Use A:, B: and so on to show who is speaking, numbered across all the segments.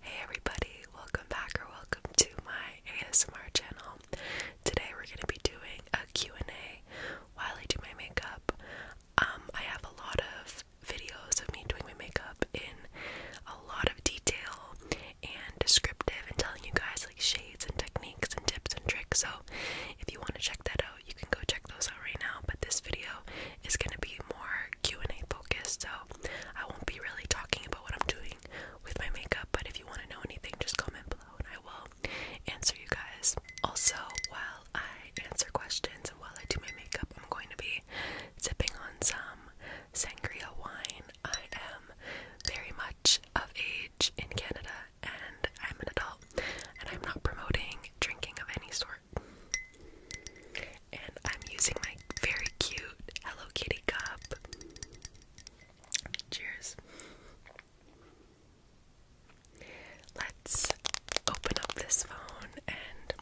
A: Hey everybody, welcome back or welcome to my ASMR channel. Today we're going to be doing a Q&A while I do my makeup. Um, I have a lot of videos of me doing my makeup in a lot of detail and descriptive and telling you guys like shades and techniques and tips and tricks. So if you want to check that out, you can go check those out right now, but this video is going to be more Q&A focused. So I won't be really talking about what I'm doing with my makeup, but if you want to know anything, just comment below and I will answer you guys. Also, while I answer questions and while I do my makeup, I'm going to be sipping on some sangria wine. I am very much of age in Canada and I'm an adult, and I'm not promoting drinking of any sort. And I'm using my very cute Hello Kitty cup. Cheers. Let's open up this phone and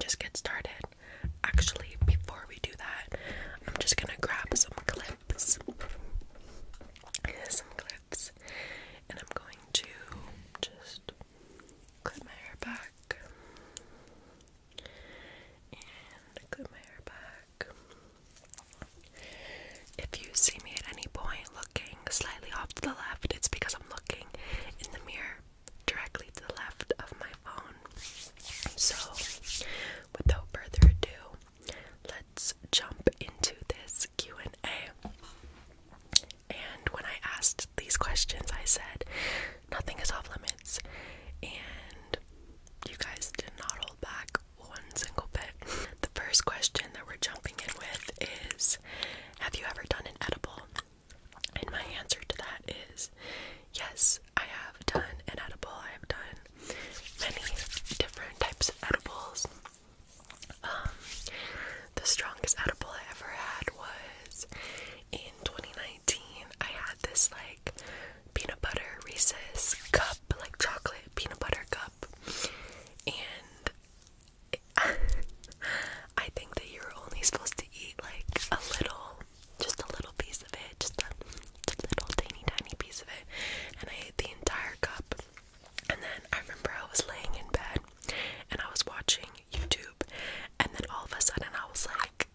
A: just get started. Actually, before we do that, I'm just gonna grab some clips. Some clips. And I'm going to just clip my hair back and clip my hair back. If you see me at any point looking slightly off to the left, it's because I'm looking in the mirror directly to the left of my phone. So, without further ado, let's jump into this Q&A. And when I asked these questions, I said nothing is off limits, and you guys did not hold back one single bit. The first question that we're jumping in with is Have you ever done an edible? And my answer to that is yes, I have done an edible. I have done many different types of edibles. Um, the strongest edible I ever had was in 2019, I had this like peanut butter Reese's cup, like chocolate peanut butter cup, and I think that you're only supposed to eat like a little, just a little piece of it, just a little tiny tiny piece of it, and I ate the entire cup. And then I remember I was laying in bed and I was watching YouTube, and then all of a sudden I was like,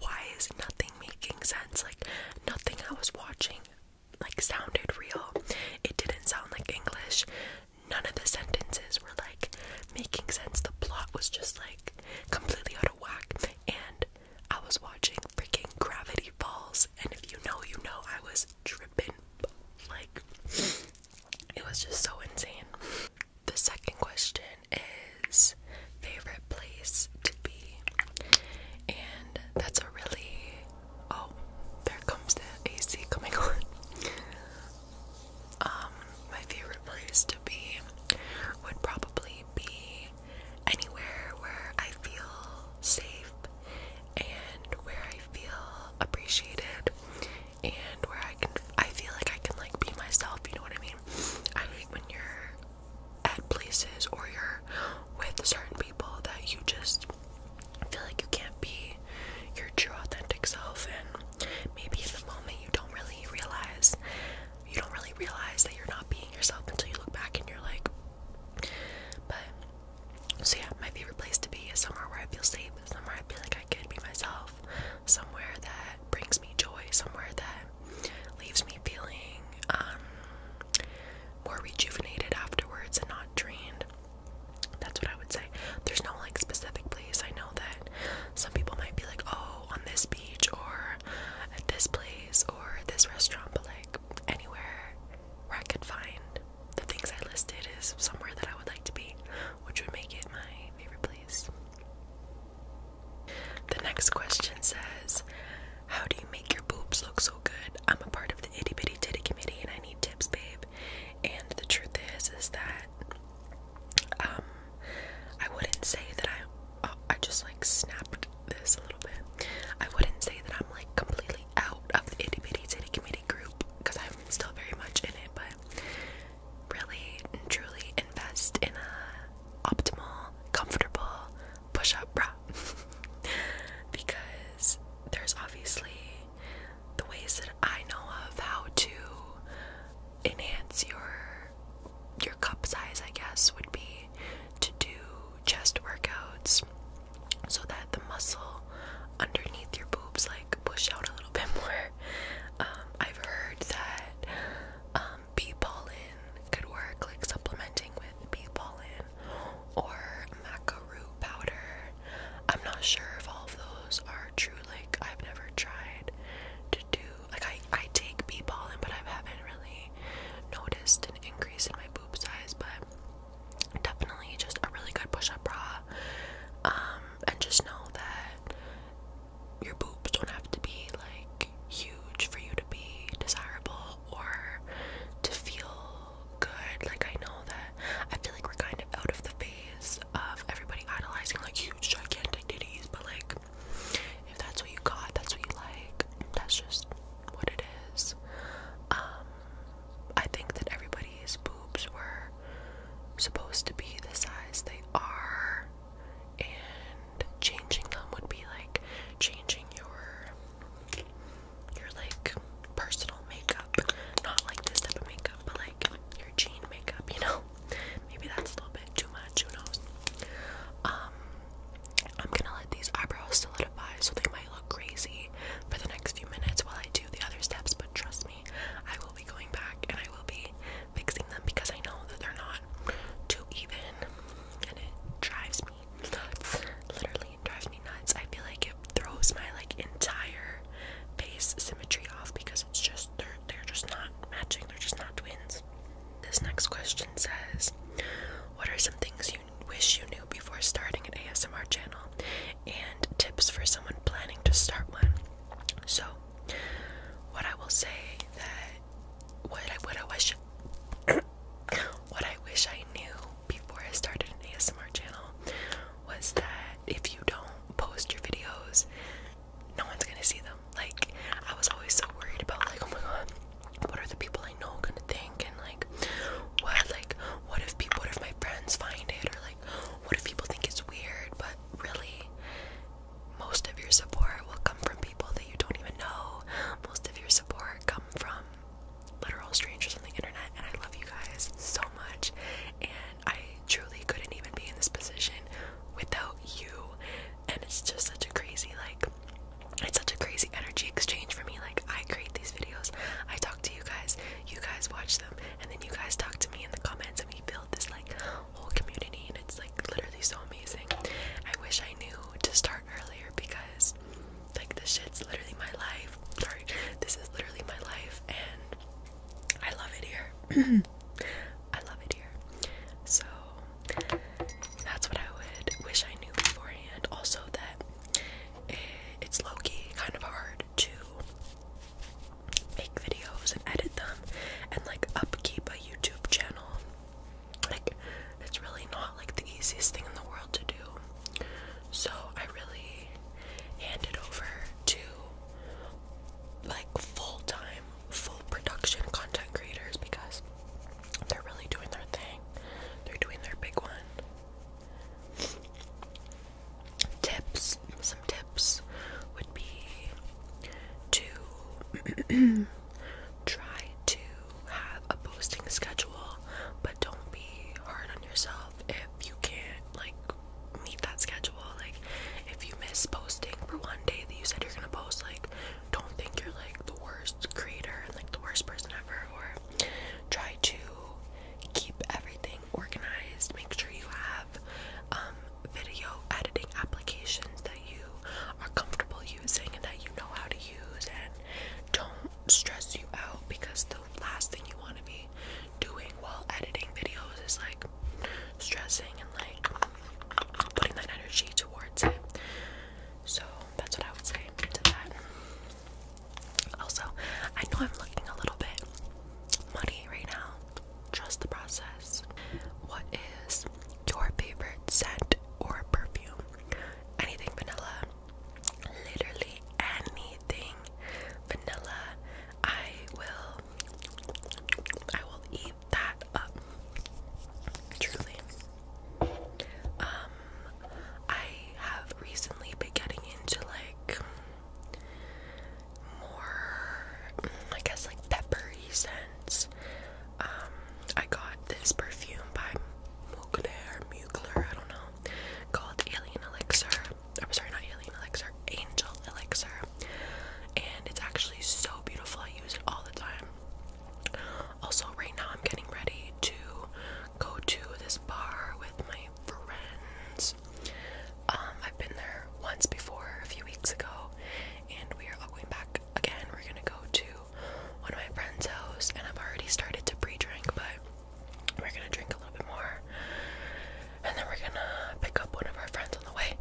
A: why is nothing making sense? Like, nothing I was watching like sounded real. It didn't sound like English. None of the sentences were like making sense. The plot was just like completely out of whack. And I was watching freaking Gravity Falls, and if you know, you know, I was tripping. Like, it was just so insane. The second question is favorite place to be. And that's a really oh, there comes the AC coming on. Um, my favorite place to be would probably be anywhere where I feel safe and where I feel appreciated and where I can I feel like I can like be myself, you know what I mean? I hate when you're at places or you're with certain people that you just feel like you can't be your true authentic self and maybe in the moment you don't really realize you don't really realize that you're not being yourself until you look back and you're like but so yeah my favorite place to be is somewhere where I feel safe somewhere I feel like I can be myself somewhere that brings me joy, somewhere that leaves me feeling um, more rejuvenated afterwards and not drained. That's what I would say. There's no like specific place. I know that some people might be like, oh, on this beach or at this place or this restaurant, but like anywhere where I could find the things I listed is somewhere that I would like to be, which would make it my favorite place. The next question says, How do you make your boobs look so good? I'm a part of the itty bitty titty committee and I need tips, babe. And the truth is, is that um, I wouldn't say that I, oh, I just like snapped this a little bit. I wouldn't say that I'm like completely out of the itty bitty titty committee group because I'm still very much in it, but really and truly invest in a optimal, comfortable push-up bra. because there's obviously the ways that I know of how to enhance your your cup size, I guess, would be to do chest workouts so that the muscle underneath your boobs like push out a little bit more. Um, I've heard that um, bee pollen could work, like supplementing with bee pollen or maca root powder. I'm not sure if all of those are true. Like I've never tried to do like I I take bee pollen, but I haven't really noticed an increase in my boob size. But definitely just a really good push-up bra. Um, and just know that your boobs don't have to be like huge for you to be desirable or to feel good. Like I know that I feel like we're kind of out of the phase of everybody analyzing like huge gigantic ditties, but like if that's what you got, that's what you like. That's just what it is. Um I think that everybody's boobs were supposed to be the size they are and changing them would be like changing your your like personal makeup not like this type of makeup but like your jean makeup you know maybe that's a little bit too much who knows um i'm gonna let these eyebrows solidify so they might look crazy for the next few minutes while i do the other steps but trust me i will be going back and i will be fixing them because I know that they're not too even and it drives me nuts. Literally drives me nuts. I feel like it throws my like entire face symmetry off because it's just they're they're just not matching, they're just not twins. This next question says, What are some things you wish you knew before starting an ASMR channel? And tips for someone planning to start one. So what I will say that what I would have wished, what I wish I knew before I started an ASMR channel was that if you don't post your videos, no one's gonna see them. Like I was always so worried about like, oh my god, what are the people I know gonna think and like what like what if people what if my friends find it or like what if people think it's weird but really most of your support will come from people that you don't even know. Most of your support come from literal strangers on the internet, and I love you guys so much. And I truly couldn't even be in this position without you. And it's just such a crazy, like, it's such a crazy energy exchange for me. Like, I create these videos, I talk to you guys, you guys watch them, and then you guys talk to me in the comments, and we build this, like, whole community and it's like literally so amazing. I wish I knew to start earlier because like this shit's literally my life. Sorry, this is literally my life and I love it here. I love it here. So that's what I would wish I knew beforehand. Also that it's low-key kind of hard too make videos and edit them and like upkeep a YouTube channel. Like, it's really not like the easiest thing in the world to do. So, I really hand it over to like full time, full production content creators because they're really doing their thing, they're doing their big one. Tips some tips would be to try to have a posting schedule, but don't be hard on yourself if you can't like meet that schedule. Like if you miss posting for one day that you said you're gonna post, like don't think you're like the worst creator and like the worst person ever or try to keep everything organized. Make sure you have um video editing applications that you are comfortable using and that you know how to use and don't stress you out because the last thing you want to be doing while editing videos is like stressing and like putting that energy towards it. So that's what I would say to that. Also, I know I'm looking a little bit muddy right now. Trust the process. What is your favorite scent or perfume? Anything vanilla. Literally anything vanilla. I will I will eat that up. Truly. Um I have recently been getting into like more, I guess, like peppery scents. Um, I got this perfume by Mugler, Mugler, I don't know, called Alien Elixir. I'm sorry, not Alien Elixir, Angel Elixir. And it's actually so beautiful. I use it all the time. Also, right now I'm getting ready to go to this bar with my friends. Um, I've been there once before a few weeks ago, and we are all going back again. We're gonna go to one of my friend's house, and I've already started to pre-drink, but we're gonna drink a little bit more, and then we're gonna pick up one of our friends on the way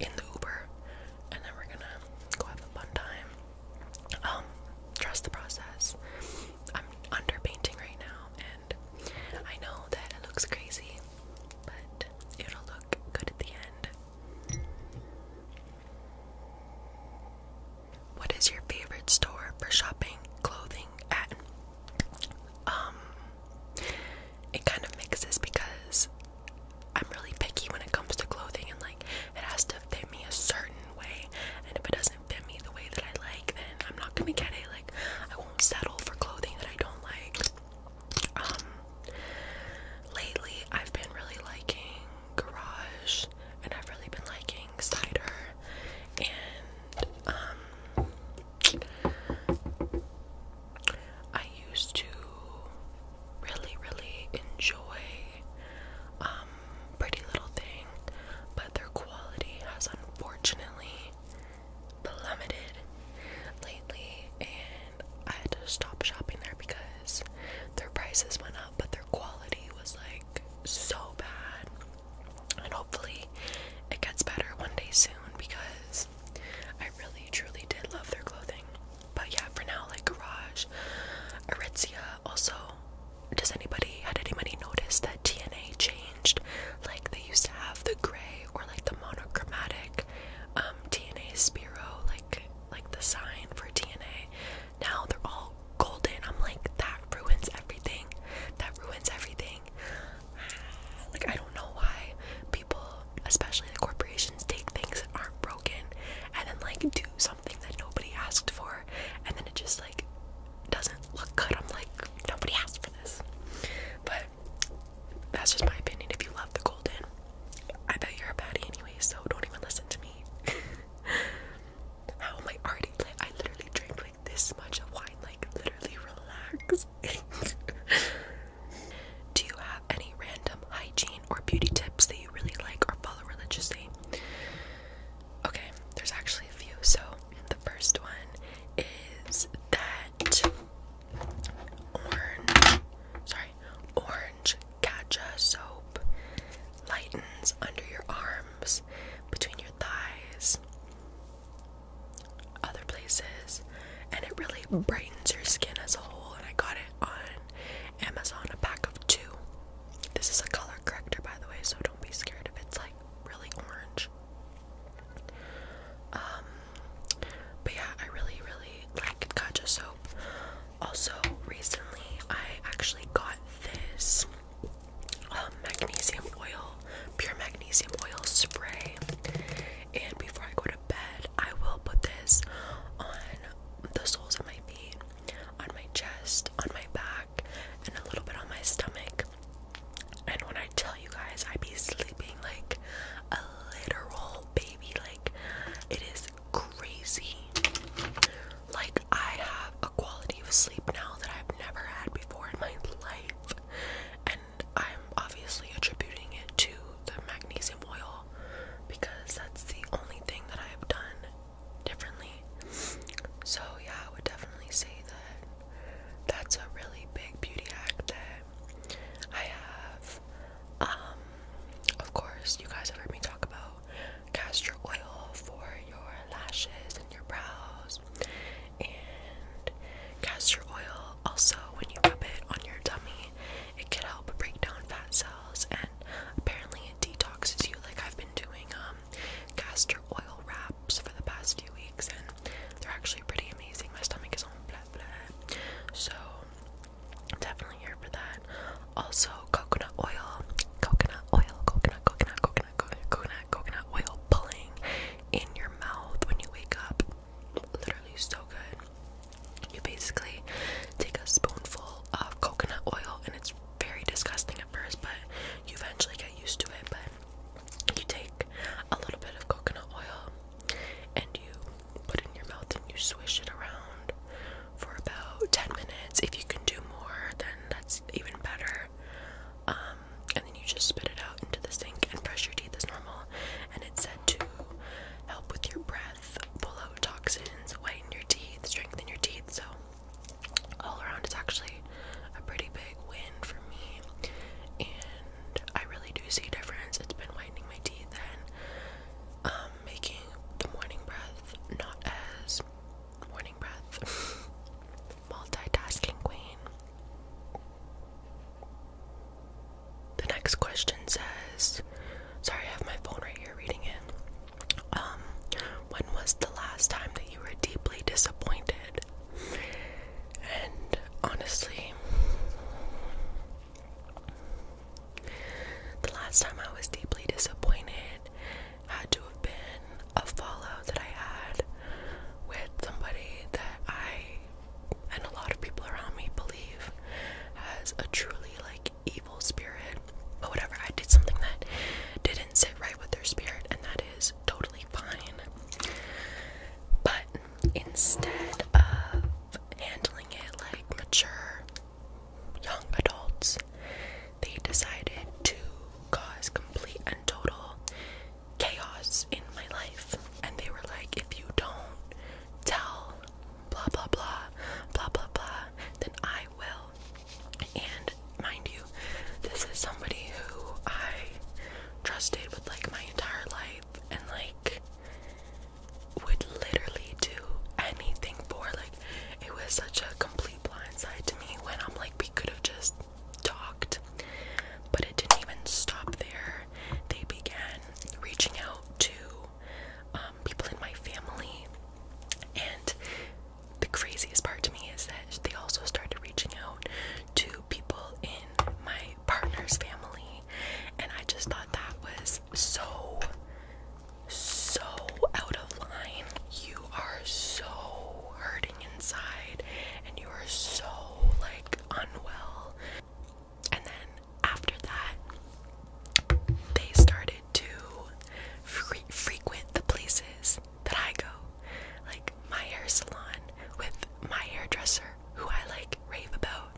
A: in the Uber, and then we're gonna go have a fun time. Um, trust the process. I'm under painting right now, and I know that it looks crazy, but it'll look good at the end. What is your favorite store for shopping clothing at? Um, it kind of mixes because I'm really picky when it comes to clothing and like it has to fit me a certain way. And if it doesn't fit me the way that I like, then I'm not gonna get it. Like, I won't settle for clothing that I don't like. Um, lately I've been really liking Garage and I've really been liking Cider and um I used to really really enjoy um Pretty Little Thing but their quality has unfortunately plummeted lately, and I had to stop shopping there because their prices went up, but their quality was like so bad. And hopefully, it gets better one day soon because I really truly did love their clothing. But yeah, for now, like Garage, Aritzia. Also, does anybody had anybody notice that TNA changed? Like they used to have the gray or like the monochromatic DNA um, Spiro, like like the sign for DNA. Now they're all golden. I'm like that ruins everything. That ruins everything. Like I don't know why people, especially the corporations, take things that aren't broken and then like do something that nobody asked for, and then it just like doesn't look good. I'm like nobody asked for this, but that's just my opinion. If you love the golden, I bet you're a patty anyway, so don't even listen to me. How am I already I literally drank like this much of wine, like literally relax. Do you have any random hygiene or beauty tips that you really like or follow religiously? Okay, there's actually a few. So the first one is that orange, sorry, orange Katja soap. Lightens under your arms, between your thighs, other places, and it really brightens your skin as a whole. And I got it on Amazon, a pack of two. This is a color corrector, by the way, so don't be scared if it's like really orange. Um, but yeah, I really, really like Kaja soap. Also, recently I actually got this um, magnesium oil, pure magnesium oil spray. And before I go to bed, I will put this on the soles of my feet, on my chest, on my back, and a little bit on my stomach. And when I I tell you guys, I be sleeping like a literal baby. Like, it is crazy. Like, I have a quality of sleep now that I've never had before in my life. And I'm obviously attributing it to the magnesium oil because that's the only thing that I have done differently. So, yeah, I would definitely say that that's a really big beauty hack that I have, um, of course, you guys have heard me talk about castor oil for your lashes and your brows. And castor oil, also, when you rub it on your tummy, it can help break down fat cells and apparently it detoxes you. Like, I've been doing, um, castor oil wraps for the past few weeks and they're actually pretty amazing. My stomach is so definitely here for that. Also coconut oil, coconut oil, coconut, coconut, coconut, coconut, coconut oil pulling in your mouth when you wake up. Literally so good. You basically take a spoonful of coconut oil and it's very disgusting at first, but you eventually get used to it. But you take a little bit of coconut oil and you put in your mouth and you swish it around for about 10 minutes. If you can do more, then that's even better. Um, and then you just spit it out into the sink and brush your teeth as normal. And it's said to help with your breath, pull out toxins, whiten your teeth, strengthen your teeth. So, all around, it's actually a pretty big win for me. And I really do see a difference. It's been whitening my teeth and um, making the morning breath not as morning breath. Multitasking queen. The next question says, sorry, I have my phone right here reading it. Um, when was the last time that you were deeply disappointed? And honestly, the last time I was deeply disappointed had to have been a fallout that I had with somebody that I and a lot of people around me believe has a truly like evil spirit But whatever. I did something that didn't sit right with their spirit, and that is totally fine. But instead of handling it like mature young adults, they decided to cause complete and total chaos in my life. And they were like, if you don't tell blah blah blah, blah blah blah, then I will. And mind you, this is somebody who I trusted with like my entire life and like would literally do anything for like it was such a complete blind side to me when I'm like we could have just talked but it didn't even stop there they began reaching out to um, people in my family and the craziest part to me is that they also started reaching out to people in my partner's family, and I just thought that was so, so out of line. You are so hurting inside, and you are so like unwell. And then after that, they started to frequent the places that I go, like my hair salon with my hairdresser who I like rave about,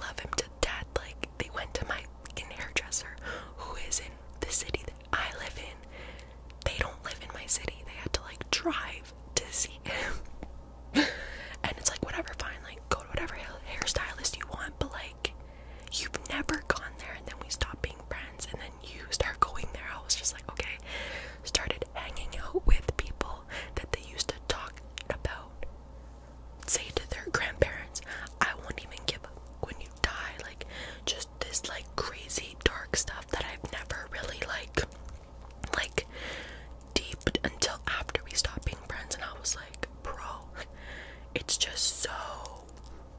A: love him to death. Like they went to my hairdresser, who is in the city that I live in. They don't live in my city. They had to like drive to see him. and it's like whatever, fine. Like go to whatever hair stylist you want, but like you've never gone there. And then we stopped being friends, and then you start going there. I was just like, okay. Started hanging out with people that they used to talk about say to their grandparents, I won't even give up when you die. Like, just this, like, crazy dark stuff that I've never really, like, like, deep until after we stopped being friends. And I was like, bro, it's just so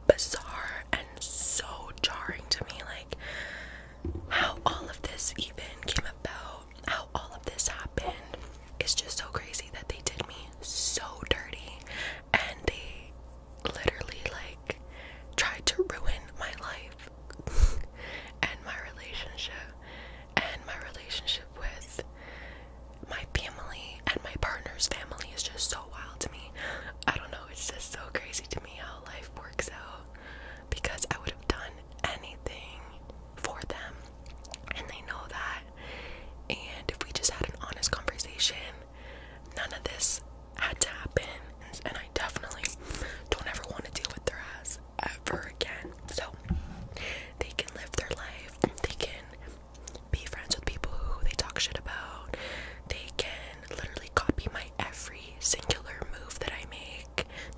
A: bizarre and so jarring to me. Like, how all of this even came about how all of this happened is just so crazy that they did me so dirty and they literally like tried to ruin my life and my relationship and my relationship with my family and my partner's family is just so wild to me. I don't know, it's just so crazy to me how life works out because I would have done anything for them and they know that. And if we just had an honest conversation, none of this had to happen. And I definitely don't ever want to deal with their ass ever again. So they can live their life, they can be friends with people who they talk shit about, they can literally copy my every singular move that I make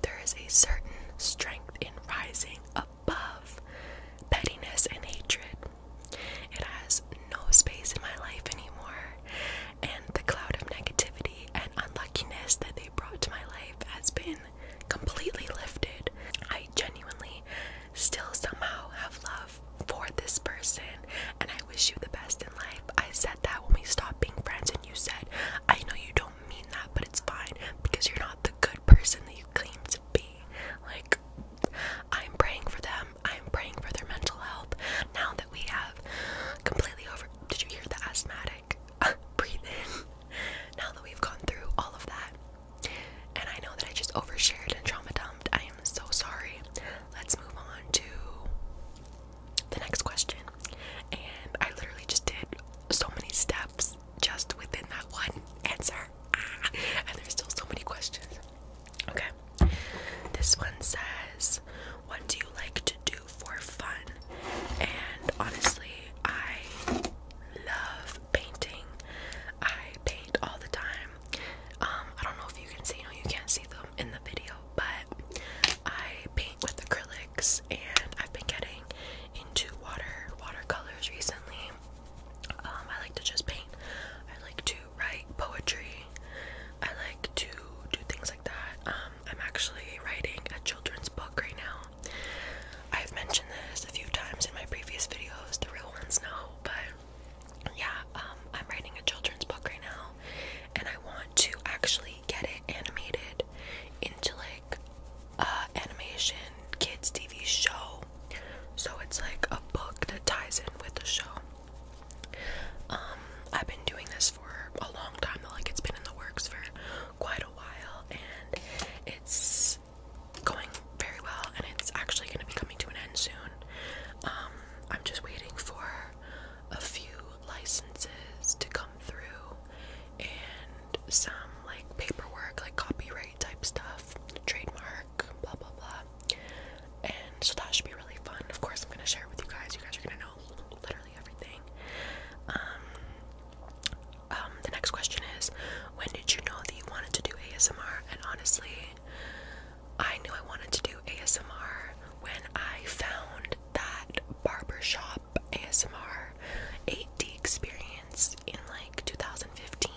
A: there is a certain strength in rising above pettiness and hatred. It has no space in my life anymore, and the cloud of negativity and unluckiness that they brought to my life has been completely lifted. I genuinely still somehow have love for this person, and I wish you the best in life. I said that when we stopped being friends, and you said, I know you don't mean that, but it's fine because you're not the good person that you claim to be. Like, I'm praying for them, I'm praying for their mental health. Now that we have completely over. Did you hear the asthmatic? Breathe in. Now that we've gone through all of that, and I know that I just overshared and trauma dumped, I am so sorry. Let's move on to the next question. And I literally just did so many steps just within that one answer. Ah, and there's still so many questions. Okay. This one says, What do you like to do for fun? And honestly, I love painting. I paint all the time. Um, I don't know if you can see, you you can't see them in the video, but I paint with acrylics and I've been getting into water watercolors recently. Um, I like to just paint. I like to write poetry. I like to do things like that. Um, I'm actually writing a children's book right now. I've mentioned this a few times in my previous videos, the real ones know, but yeah, um, I'm writing a children's book right now, and I want to actually get it animated into like animation kids TV show. So it's like a book that ties in with the show. Um, I've been doing this for a long time, like it's been in the works for quite a while, and it's going very well, and it's actually going to be coming to an end soon. Um, I'm just waiting for a few licenses to come through and some like paperwork, like copyright type stuff, trademark, blah blah blah. And so that should be really fun. Of course, I'm gonna share it with you guys. You guys are gonna know literally everything. Um, um, the next question is, when did you know that you wanted to do ASMR? And honestly, I knew I wanted to do ASMR when I found that barber shop. ASMR 8D experience in like 2015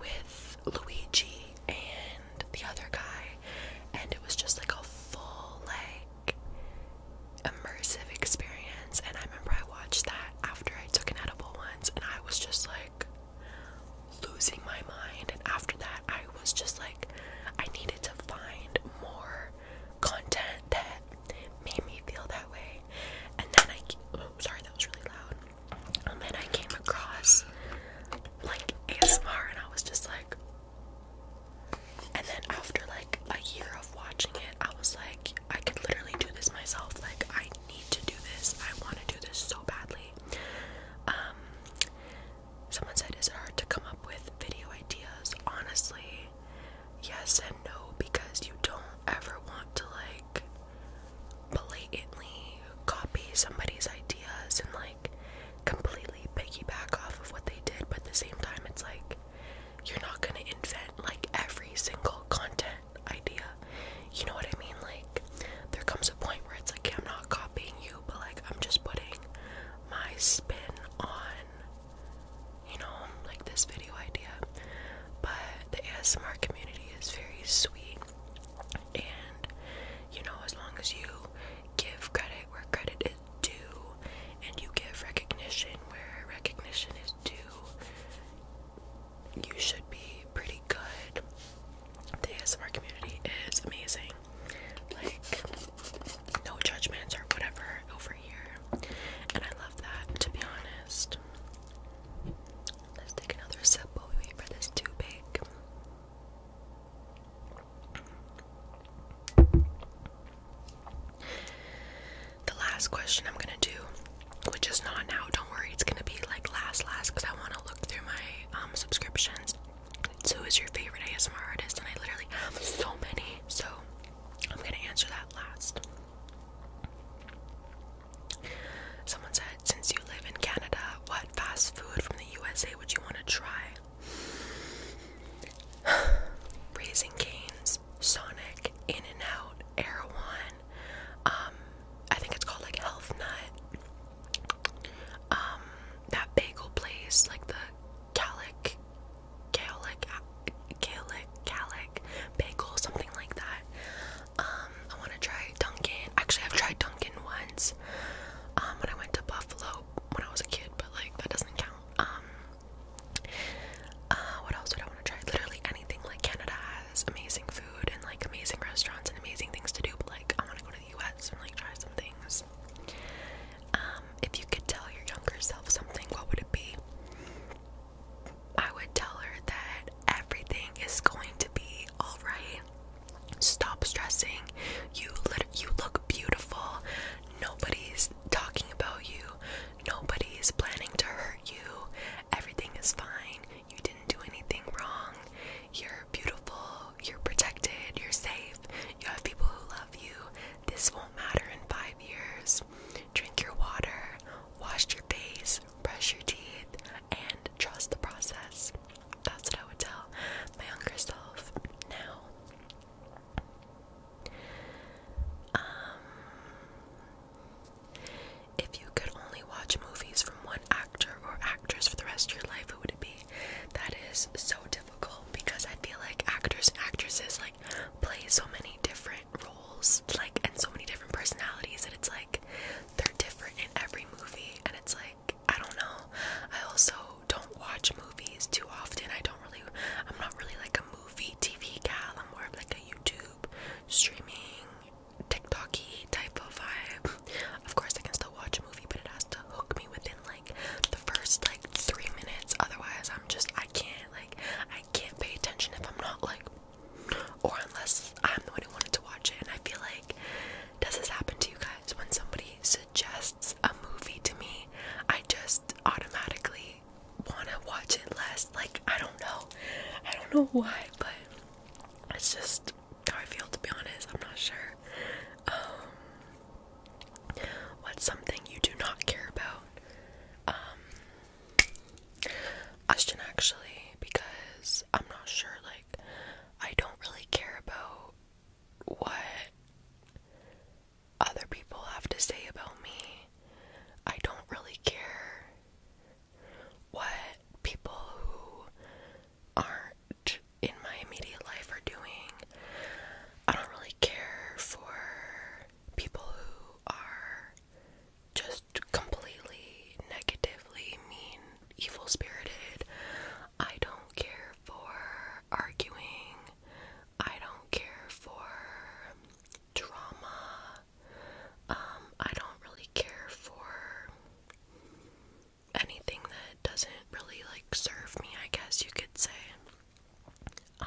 A: with Luigi and the other guy, and it was just like a full, like, immersive experience. And I remember I watched that after I took an edible once, and I was just like losing my mind. And after that, I was just like, I needed to find more content that made me feel that way. And then I, oh, sorry, that was really loud. And then I came across like ASMR, and I was just like, and then after like a year of watching it, I was like, I could literally do this myself. Like, I need to do this. I want to do this so badly. Um, someone said, is it hard to come up with video ideas? Honestly, yes and no because you don't ever want to like blatantly copy somebody's ideas and like completely piggyback off of what they did, but at the same time, it's like you're not gonna invent like every single content idea. You know what I mean? Like, there comes a point where it's like, I'm not copying you, but like, I'm just putting my spin on you know, like this video idea. But the ASMR community is very sweet, and you know, as long as you give credit where credit is due, and you give recognition where recognition is due, you should be pretty good. The ASMR community is amazing. Like, no judgments or whatever over here. And I love that, to be honest. Let's take another sip while wait for this to bake. The last question I'm gonna do, which is not now, don't worry, it's gonna be like last, last, because I want to look through my um, subscriptions. who is your favorite ASMR artist? And I literally have so many. So, I'm gonna answer that last. Someone said, Since you live in Canada, what fast food from the USA would you want to try? Raising Canes, Sonic, In and Out, Erewhon, um, I think it's called like Health Nut. Um, that bagel place, like the Gaelic, Gaelic, Gaelic, Gaelic bagel, something like that. Um, I want to try Dunkin'. Actually, I've tried Dunkin' once um, when I went to Buffalo when I was a kid, but like that doesn't count. Um, uh, what else would I want to try? Literally anything. Like Canada has amazing food and like amazing restaurants and amazing things to do, but like I want to go to the U.S. and like try some things. Um, if you could tell your younger self something, what would it be? I would tell her that everything is going to be all right. Stop stressing. You lit you look beautiful. Nobody's talking about you. Nobody is planning to hurt you. Everything is fine. You didn't do anything wrong. You're beautiful. You're protected. You're safe. You have people who love you. This won't matter in 5 years. Drink your water, wash your face, brush your teeth, and trust the process. That's what I would tell my younger self now. Um, if you could only watch movies from one actor or actress for the rest of your life, who would it be? That is so difficult because I feel like actors and actresses like play so many different roles, like and so many different personalities and it's like they're different in every movie and it's like I don't know. I also don't watch movies too often. I don't really I'm not really like a movie TV gal. I'm more of like a YouTube streaming TikToky type of vibe. Of course I can still watch a movie but it has to hook me within like the first like three minutes. Otherwise I'm just I can't like I I can't pay attention if I'm not like, or unless I'm the one who wanted to watch it. And I feel like, does this happen to you guys? When somebody suggests a movie to me, I just automatically want to watch it less. Like, I don't know. I don't know why, but it's just how I feel, to be honest. I'm not sure. Um, what's something you do not care about? um Ashton actually because I'm not sure like I don't really care about what other people have to say about me. I don't really care what people who aren't in my immediate life are doing. I don't really care for people who are just completely negatively mean, evil spirited. I don't care for arguing. I don't care for drama. Um, I don't really care for anything that doesn't really like serve me, I guess you could say. Um,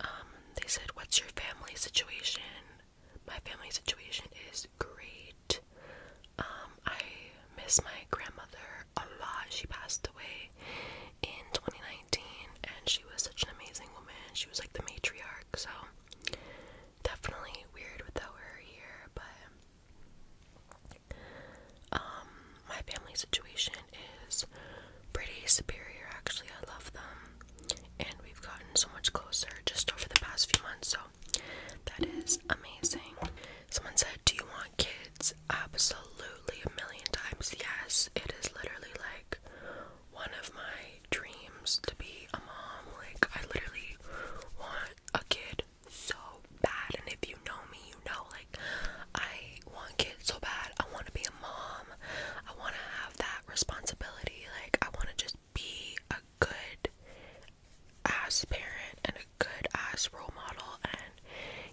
A: um, they said, What's your family situation? My family situation is great. Um, I miss my grandmother a lot. She passed away in 2019 and she was such an amazing woman. She was like the matriarch, so definitely weird without her here, but um, my family situation is pretty superior, actually. I love them, and we've gotten so much closer just over the past few months, so that is amazing. Someone said, Do you want kids? Absolutely, a million times yes. It is literally like one of my dreams to be a mom. Like, I literally want a kid so bad and if you know me you know like I want kids so bad I want to be a mom I want to have that responsibility like I want to just be a good ass parent and a good ass role model and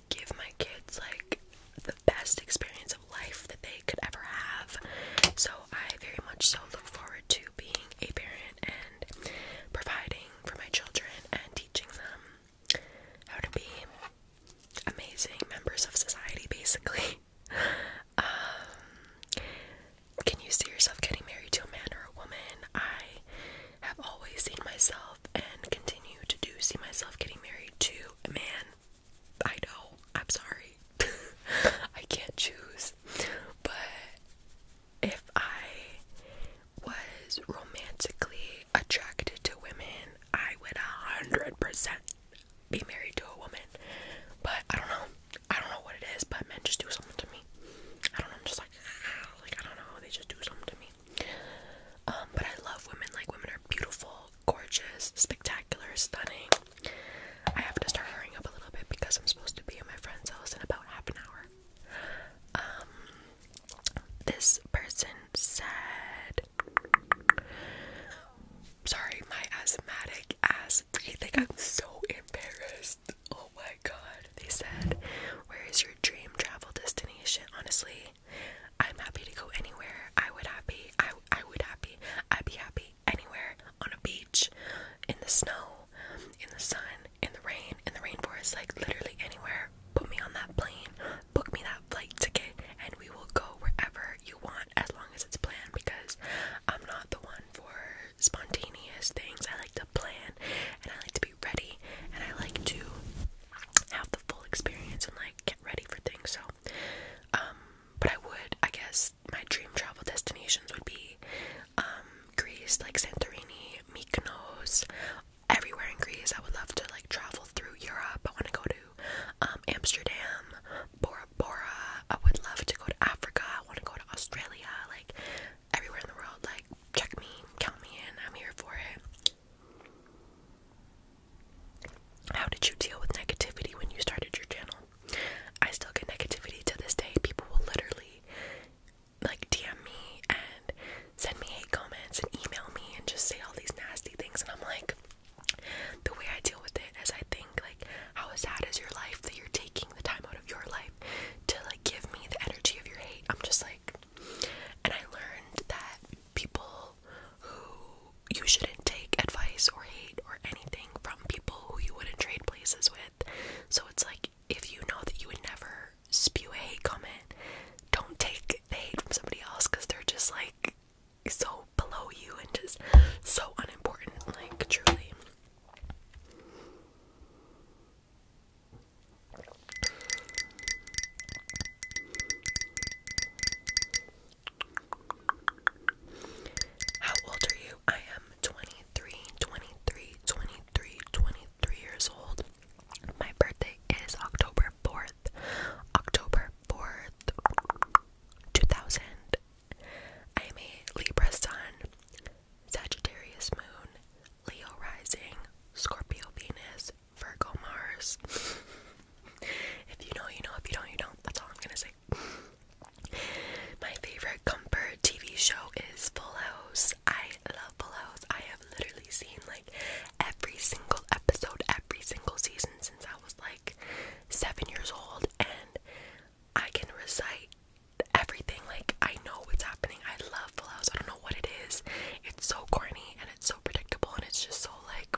A: give my kids like the best experience of life that they could ever have so I very much so look forward to being a parent and providing for my children and teaching them how to be amazing members of society, basically. Um, can you see yourself getting married to a man or a woman? I have always seen myself and continue to do see myself getting married to a man. I know, I'm sorry. I can't choose. But if I was romantically attracted to women, I would a 100% be married to a woman. But I don't know. I don't know what it is, but men just do something to me. I don't know. I'm just like, ah, like I don't know. They just do something to me. Um, but I love women. Like women are beautiful, gorgeous, spectacular, stunning. I have to start hurrying up a little bit because I'm supposed to be at my friend's house in about half an hour. Um, this person said, Sorry, my asthmatic ass. I I'm so embarrassed. Oh my god. They said, Where is your dream travel destination? Honestly, I'm happy to go anywhere. I would happy. I, I would happy. I'd be happy anywhere on a beach, in the snow, in the sun, in the rain, in the rainforest like literally anywhere. Put me on that plane, book me that flight ticket and we will go wherever you want as long as it's planned because I'm not the one for spontaneous things. I like to plan and I like to be ready and I like to have the full experience and like get ready for things. So, um, but I would, I guess, my dream travel destinations would be um, Greece, like Santorini, Mykonos, everywhere in Greece. I would love to like travel through Europe. I want to go to um, Amsterdam, Bora Bora. I would love to go to Africa. I want to go to Australia. Like everywhere in the world. Like check me, count me in. I'm here for it. How did you deal with negativity when you started your channel? I still get negativity to this day. People will literally like DM me and send me hate comments and email me and just say all these nasty things. And I'm like, the way I deal with it is I think, like, how sad is your life that you're taking the time out of your life to, like, give me the energy of your hate? I'm just like, and I learned that people who you shouldn't take advice or hate or anything from people who you wouldn't trade places with. So it's like, if you know that you would never spew a hate comment, don't take the hate from somebody else because they're just like so below you and just so unimportant, like truly. How old are you? I am 23, years old. My birthday is October 4th. October 4th, 2000. I am a Libra sun, Sagittarius moon, Leo rising, Scorpio Venus, Virgo Mars. if you know, you know. If you don't, you don't. That's all I'm gonna say. My favorite comfort TV show is Full House. I love Full House. I have literally seen like every single episode, every single season since I was like seven years old, and I can recite everything. Like, I know what's happening. I love Full House. I don't know what it is. It's so corny and it's so predictable, and it's just so like,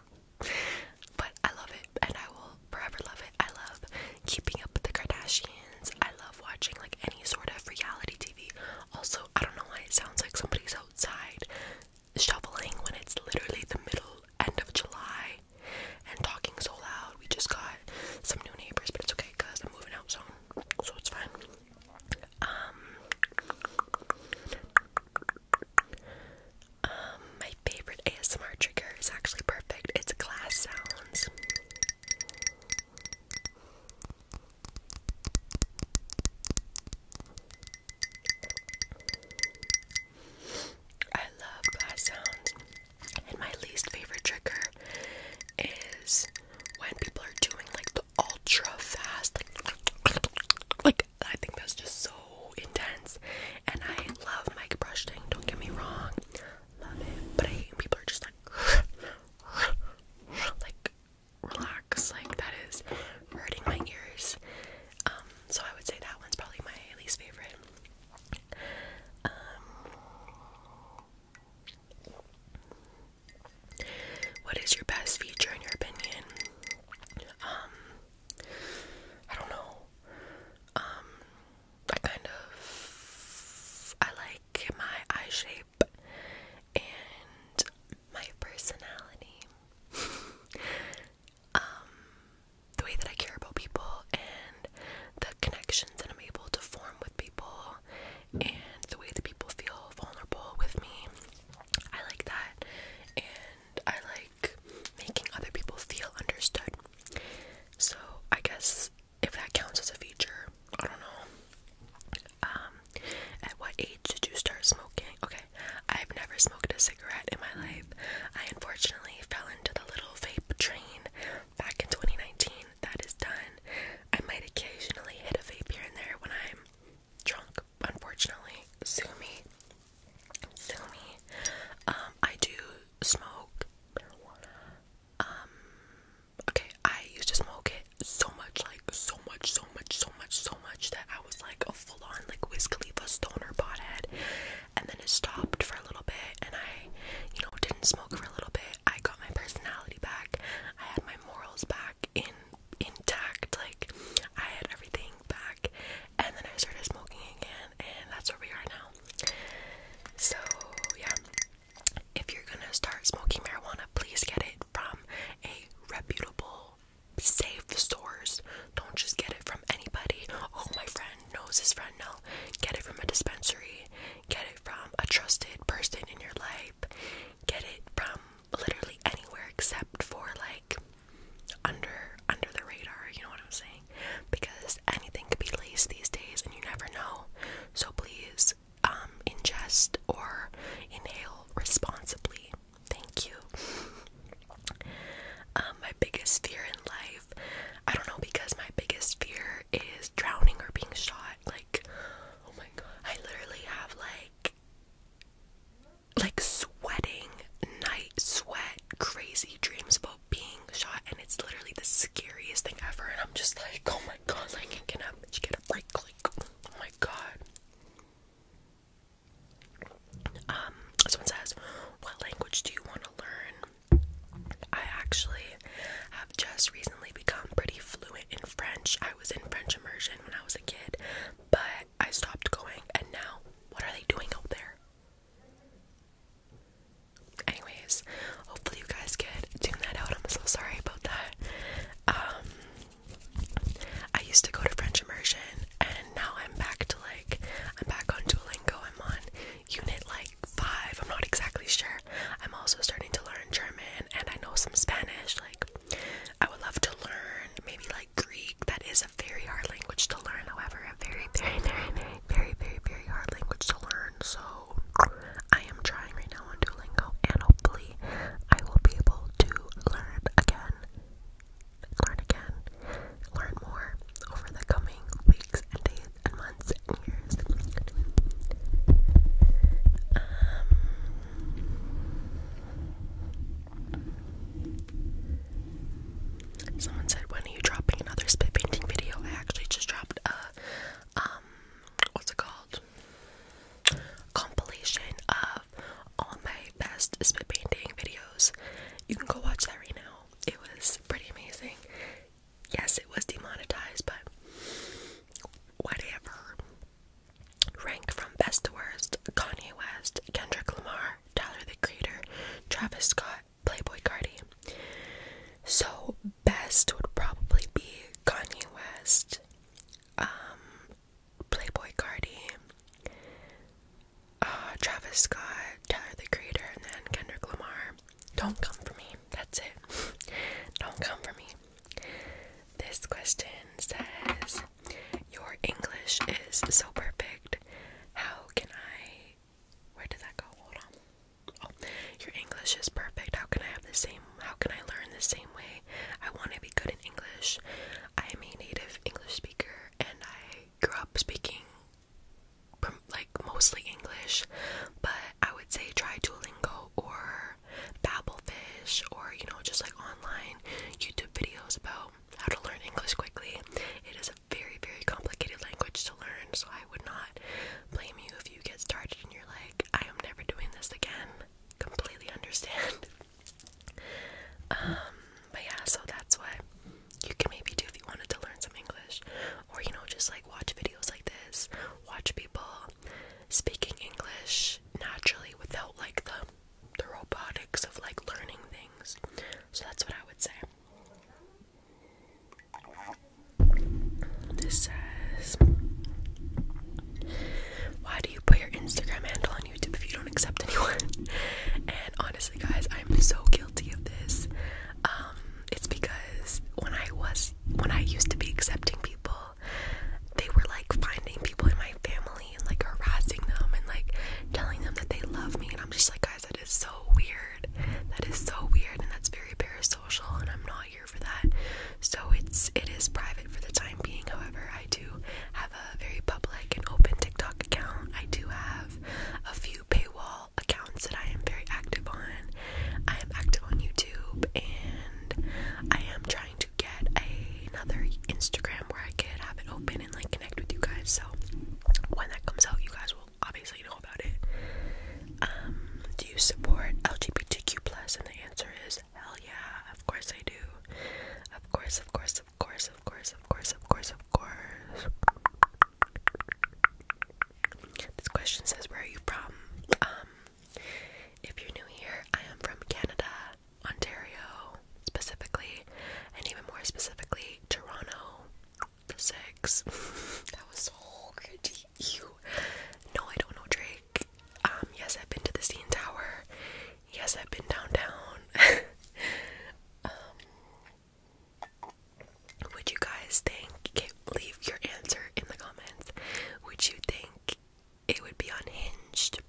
A: but I love it, and I will forever love it. I love keeping up with the Kardashians. I love watching like any sort of reality TV. Also, I don't know why it sounds like somebody's outside shoveling when it's literally the middle end of July and talking so loud. We just got some new neighbors, but it's okay because I'm moving out soon, so it's fine. Um, um, my favorite ASMR trigger is actually perfect. It's glass sounds. I love glass sounds, and my least favorite trigger is when people are doing like the ultra fast, like, like I think that's just so intense. And I love mic brushing, don't get me wrong, love it, but I hate when people are just like, like relax. Like that is hurting my ears. Um, so I would say that one's probably my least favorite. Um, what is your best feature in your opinion? Um, I don't know. I kind of I like my eye shape and my personality. um, the way that I care about people and the connections that I'm able to form with people and the way that people feel vulnerable with me. I like that and I like making other people feel understood. So I guess if that counts as a feature, I don't know. Um, at what age did you start smoking? Okay, I've never smoked a cigarette in my life. I unfortunately fell into the little vape train back in 2019. That is done. I might occasionally hit a vape here and there when I'm drunk, unfortunately. Sue me. Sue me. Um, I do smoke um, okay, I used to smoke it so much, like so much, so much, so much, so much that I was like a full-on like Wiz Khalifa stoner pothead, and then it stopped for a little bit, and I, you know, didn't smoke for a little bit. I got my personality back. I had my morals back in intact. Like I had everything back, and then I started smoking again, and that's where we are now. So yeah. If you're gonna start smoking marijuana, please get it from a reputable, safe source. Don't just get it from anybody. Oh, my friend knows his friend. No, get it from a dispensary. Get it from a trusted person in your life. Get it from literally anywhere except for like under under the radar. You know what I'm saying? Because anything could be laced these days, and you never know. So please um, ingest or inhale responsibly. Thank you. Um, my biggest fear in life, I don't know, because my biggest fear is drowning or being shot. Like, oh my god, I literally have like, like sweating, night sweat, crazy dreams about being shot, and it's literally the scariest thing ever. And I'm just like, oh my god, like, can I get a break? Like, oh my god. Um, someone says, What language do you want to learn? I actually have just recently become pretty fluent in French. I was in French immersion when I was a kid, but I stopped going, and now what are they doing out there? Anyways, hopefully you guys could tune that out. I'm so sorry about that. Um, I used to go to French immersion and now I'm back to like I'm back on Duolingo. I'm on unit like five. I'm not exactly sure. I'm also starting to learn German and I know some Spanish. Like I would love to learn maybe like Greek. That is a very hard language to learn, however, a very, very, very, very, very, very, hard language to learn. So I am trying right now now on and hopefully, I will be able to learn again, learn again, learn more over the coming weeks and days and months and years. Um, Someone said, "When are you dropping another spit painting video?" I actually just dropped a um, what's it called? compilation of all my best spit painting videos. You can go watch that right now. It was pretty amazing. Yes, it was demonetized, but whatever. Ranked from best to worst Kanye West, Kendrick Lamar, Tyler the Creator, Travis Scott, Playboy Cardi. So, best would probably be Kanye West, um, Playboy Cardi, uh, Travis Scott, Tyler the Creator, and then Kendrick Lamar. Don't come for me. That's it. Don't come for me. This question says, Your English is so perfect. How can I. Where did that go? Hold on. Oh, your English is perfect. How can I have the same how can I learn the same way? I want to be good in English. I am a native English speaker and I grew up speaking like mostly English, but I would say try Duolingo or Babblefish or you know just like online YouTube videos about how to learn English quickly. It is a very very complicated language to learn, so I would not blame you if you get started and you're like I am never doing this again completely understand. Um, but yeah, so that's what you can maybe do if you wanted to learn some English, or you know, just like watch videos like this, watch people speaking English naturally without like the the robotics of like learning things. So that's what I would say. This says, Why do you put your Instagram handle on YouTube if you don't accept anyone? and honestly, guys, I'm so guilty of this. Um, it's because when I was when I used to be accepting people, they were like finding people in my family and like harassing them and like telling them that they love me, and I'm just like, guys, that is so weird. That is so weird, and that's very parasocial, and I'm not here for that. So it's it is private for the time being. However, I do have a very public and open TikTok account. I do have a few paywall accounts that I am very active on. I am active on YouTube and I am trying to get another Instagram where I could have it open and like connect with you guys. So when that comes out, you guys will obviously know about it. Um, do you support LGBTQ plus? And the answer is Hell yeah, of course I do. Of course, of course, of course, of course, of course, of course, of course. This question says, Where are you from? Um, if you're new here, I am from Canada, Ontario, specifically, and even more specifically, Toronto. The six. that was so crazy. You. No, I don't know, Dre um, yes, I've been to the scene tower. Yes, I've been downtown. Um, would you guys think? leave your answer in the comments. Would you think it would be unhinged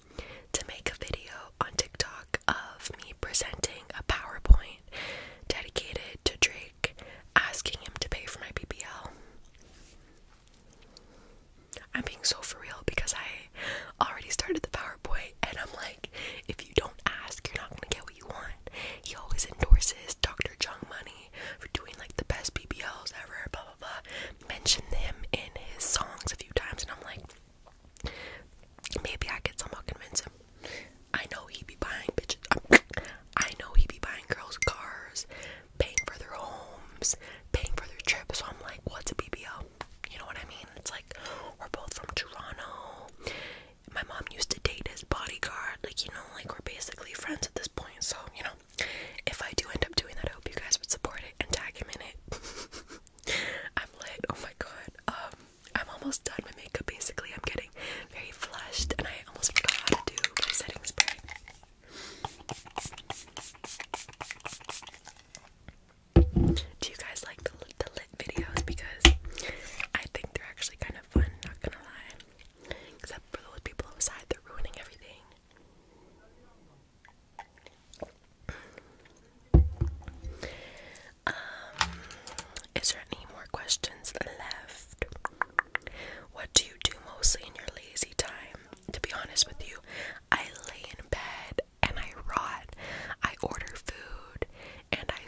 A: to make a video on TikTok of me presenting a PowerPoint dedicated to Drake, asking him to pay for my BBL? I'm being so for real because I already started the PowerPoint and I'm like, if you don't ask, you're not gonna get what you want. He always endorses Dr. Jung Money for doing like the best BBLs ever, blah blah blah. Mentioned him in his songs a few times and I'm like, maybe I could somehow convince him. I know he would be buying bitches. I know he would be buying girls' cars paying for their homes, paying for their trips. So I'm like, what's a BBL? You know what I mean? It's like we're both from Toronto. My mom used to date his bodyguard. Like, you know, like we're basically friends at this point. So, you know, if I do end up doing that, I hope you guys would support it and tag him in it. I'm lit. Oh my god. Um, I'm almost done my makeup basically. I'm getting very flushed and I almost forgot how to do my setting spray. Do you guys like the, lit videos? Because I think they're actually kind of fun, not gonna lie. Except for those people outside, they're ruining everything. Um, is there any more questions left? What do you do mostly in your lazy time? To be honest with you, I lay in bed and I rot. I order food and I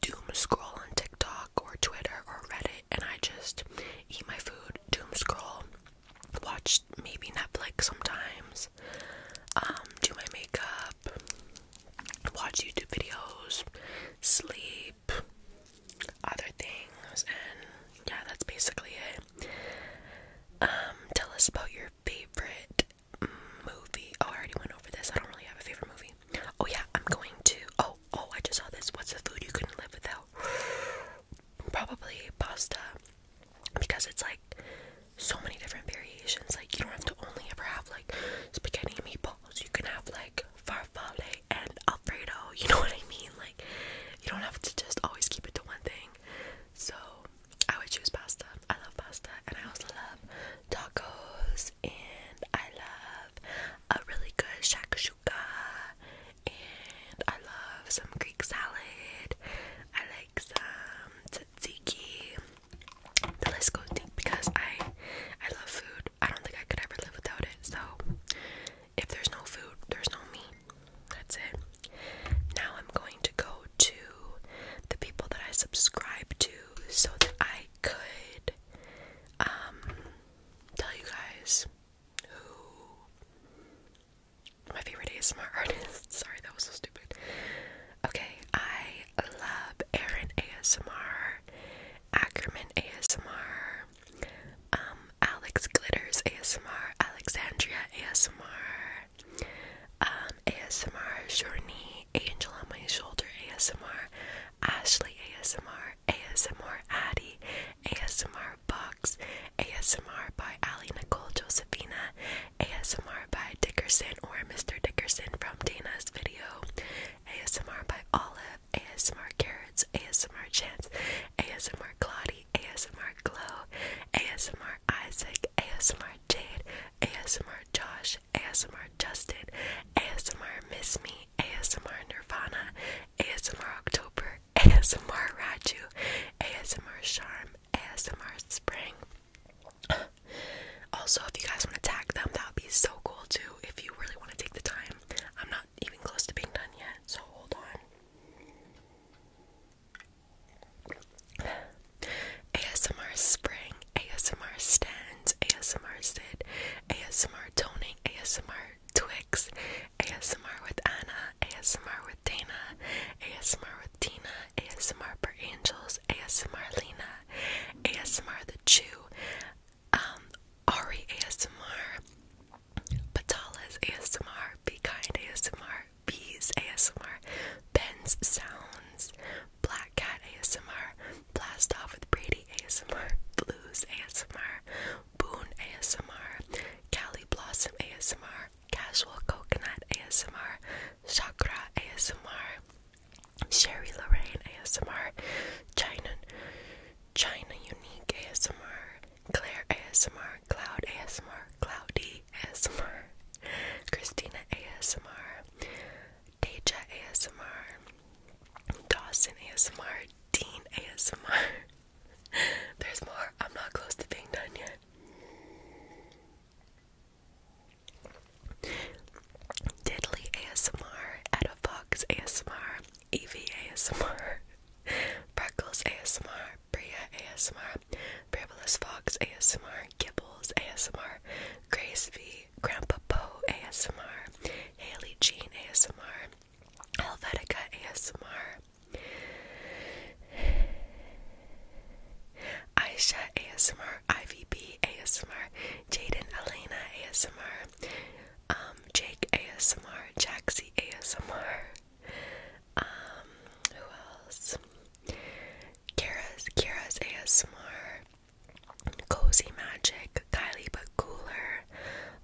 A: doom scroll on TikTok or Twitter or Reddit and I just eat my food, doom scroll, watch maybe Netflix sometimes, um, do my makeup, watch YouTube videos, sleep, other things, and yeah, that's basically it. Um, tell us about your favorite movie. Oh, I already went over this. I don't really have a favorite movie. Oh yeah, I'm going to. Oh, oh, I just saw this. What's the food you couldn't live without? Probably pasta, because it's like so many different variations. Like you don't have to only ever have like spaghetti meatballs. You can have like farfalle and alfredo. You know what I mean? Like you don't have to just always keep it to one thing. So I would choose pasta. I love pasta and I also love tacos and I love a really good shakshuka and I love some Greek salad. I like some tzatziki. The list goes deep because I I love food. I don't think I could ever live without it. So if there's no food, there's no me. That's it. Now I'm going to go to the people that I subscribe to so that I could um, tell you guys who my favorite ASMR artist. Sorry, that was so stupid. Okay, I love Aaron ASMR, Ackerman ASMR, Alex Glitters ASMR, Alexandria ASMR, um, ASMR Journey, Angel on My Shoulder ASMR, Ashley ASMR, ASMR Addie, ASMR Box, ASMR by Ali Nicole Josephina, ASMR by Dickerson or Mr. Dickerson from Dana's video, ASMR by Olive, ASMR Carrots, ASMR Chance, ASMR Claudie, ASMR Glow, ASMR Isaac, ASMR Jade, ASMR Josh, ASMR Justin, ASMR Miss Me, ASMR Nirvana, ASMR October, ASMR Raju, ASMR Charm, ASMR Spring. also, if you guys want to tag them, that would be so cool too. If you really want to take the time, I'm not even close to being done yet, so hold on. ASMR spring, ASMR stands, ASMR sit, ASMR toning, ASMR Twix, ASMR with Anna, ASMR with Dana, ASMR with Tina, ASMR per Angels, ASMR Lina, ASMR the Chew, um, Ari ASMR, Patala's ASMR, Be Kind ASMR, Bees ASMR, Ben's Sounds, Black Cat ASMR, Blast Off with Brady ASMR, Blues ASMR, Boone ASMR, Cali Blossom ASMR, Casual Coconut ASMR, Chakra ASMR, Sherry Lorraine ASMR, China China Unique ASMR, Claire ASMR, Cloud ASMR, Cloudy ASMR, Christina ASMR, Deja ASMR, Dawson ASMR, Dean ASMR. There's more. I'm not close to being done yet. Diddley ASMR, Etta ASMR, Evie ASMR, Breckles ASMR, Bria ASMR, Bravelous Fox ASMR, Gibbles ASMR, Grace V, Grandpa Po ASMR, Haley Jean ASMR, Helvetica ASMR. Aisha ASMR, IVB ASMR, Jaden Elena ASMR, um, Jake ASMR, Jaxie ASMR, um, who else? Kira's Kira's ASMR, Cozy Magic, Kylie But Cooler,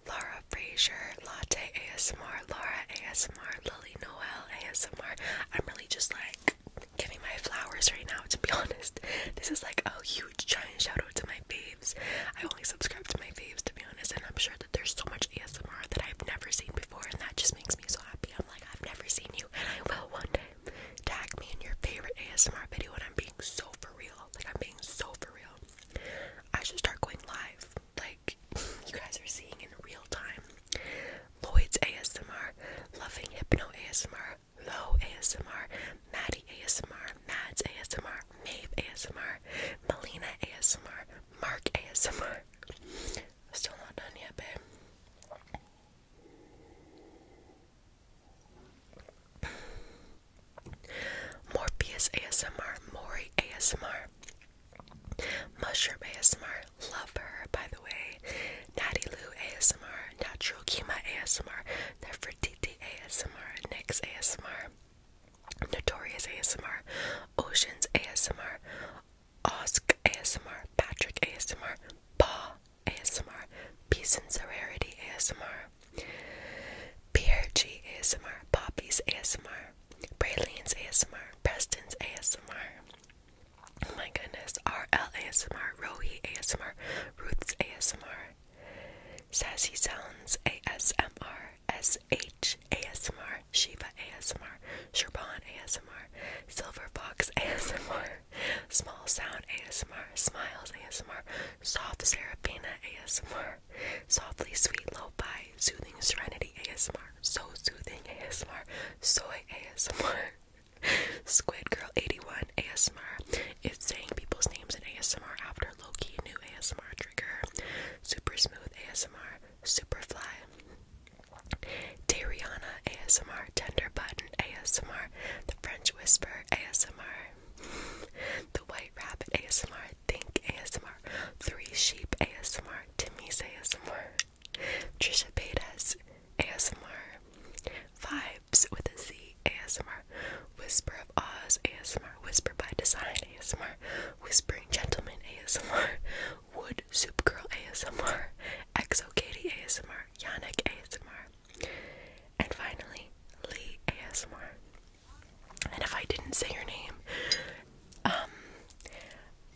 A: Laura Fraser, Latte ASMR, Laura ASMR, Lily Noel ASMR. I'm really just like giving my flowers right now to be honest. This is like a huge giant shout out to my faves. I only subscribe to my faves to be honest, and I'm sure there's so much ASMR that I've never seen before, and that just makes me so happy. I'm like, I've never seen you, and I will one day. Tag me in your favorite ASMR video, and I'm being so for real. Like, I'm being so for real. I should start going live. Like, you guys are seeing in real time. Lloyd's ASMR, Loving Hypno ASMR, Low ASMR, Maddie ASMR, Mads ASMR, Maeve ASMR, Melina ASMR, Mark ASMR, Still not done yet, babe. Morpheus ASMR, Mori ASMR, Mushroom ASMR, love her by the way, Natty Lou ASMR, Natural Kima ASMR, Nefertiti ASMR, Nyx ASMR, Notorious ASMR, Oceans ASMR, Osk ASMR, Patrick ASMR, Pa ASMR, Peace and Sorority ASMR, PRG ASMR, Poppy's ASMR, Braylene's ASMR, Preston's ASMR. Oh my goodness, RL ASMR, Rohi ASMR, Ruth's ASMR, Sassy Sounds ASMR, S H A S M R Shiva ASMR, Sherban ASMR, Silver Fox ASMR, Small Sound ASMR, Smiles ASMR, Soft Seraphina ASMR, Softly Sweet Lo-Fi, Soothing Serenity ASMR, So Soothing ASMR, Soy ASMR, Squid Girl 81 ASMR, It's saying people's names in ASMR after low key new ASMR trigger, Super Smooth ASMR, Superfly, Dariana ASMR, Tender Button ASMR, The French Whisper ASMR, The White Rabbit ASMR, Think ASMR, Three Sheep ASMR, Timmy's ASMR, Trisha Paytas ASMR, Vibes with a Z ASMR, Whisper of Oz ASMR, Whisper by Design ASMR, Whispering Gentleman ASMR, Wood Soup Girl ASMR, Exo Katie ASMR, Yannick ASMR, and finally Lee ASMR. And if I didn't say your name, um,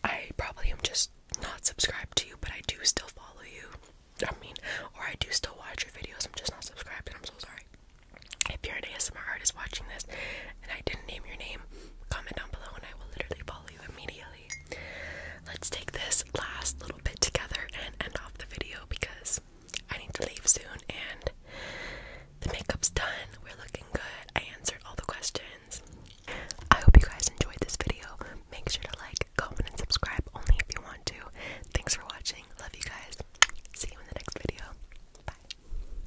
A: I probably am just not subscribed to you, but I do still follow you. I mean, or I do still watch your videos, I'm just not subscribed, and I'm so sorry. If you're an ASMR artist watching this and I didn't name your name, comment down below and I will literally follow you immediately. Let's take this last little bit together and end off the video because I need to leave soon and the makeup's done. We're looking good. I answered all the questions. I hope you guys enjoyed this video. Make sure to like, comment, and subscribe only if you want to. Thanks for watching. Love you guys. See you in the next video. Bye.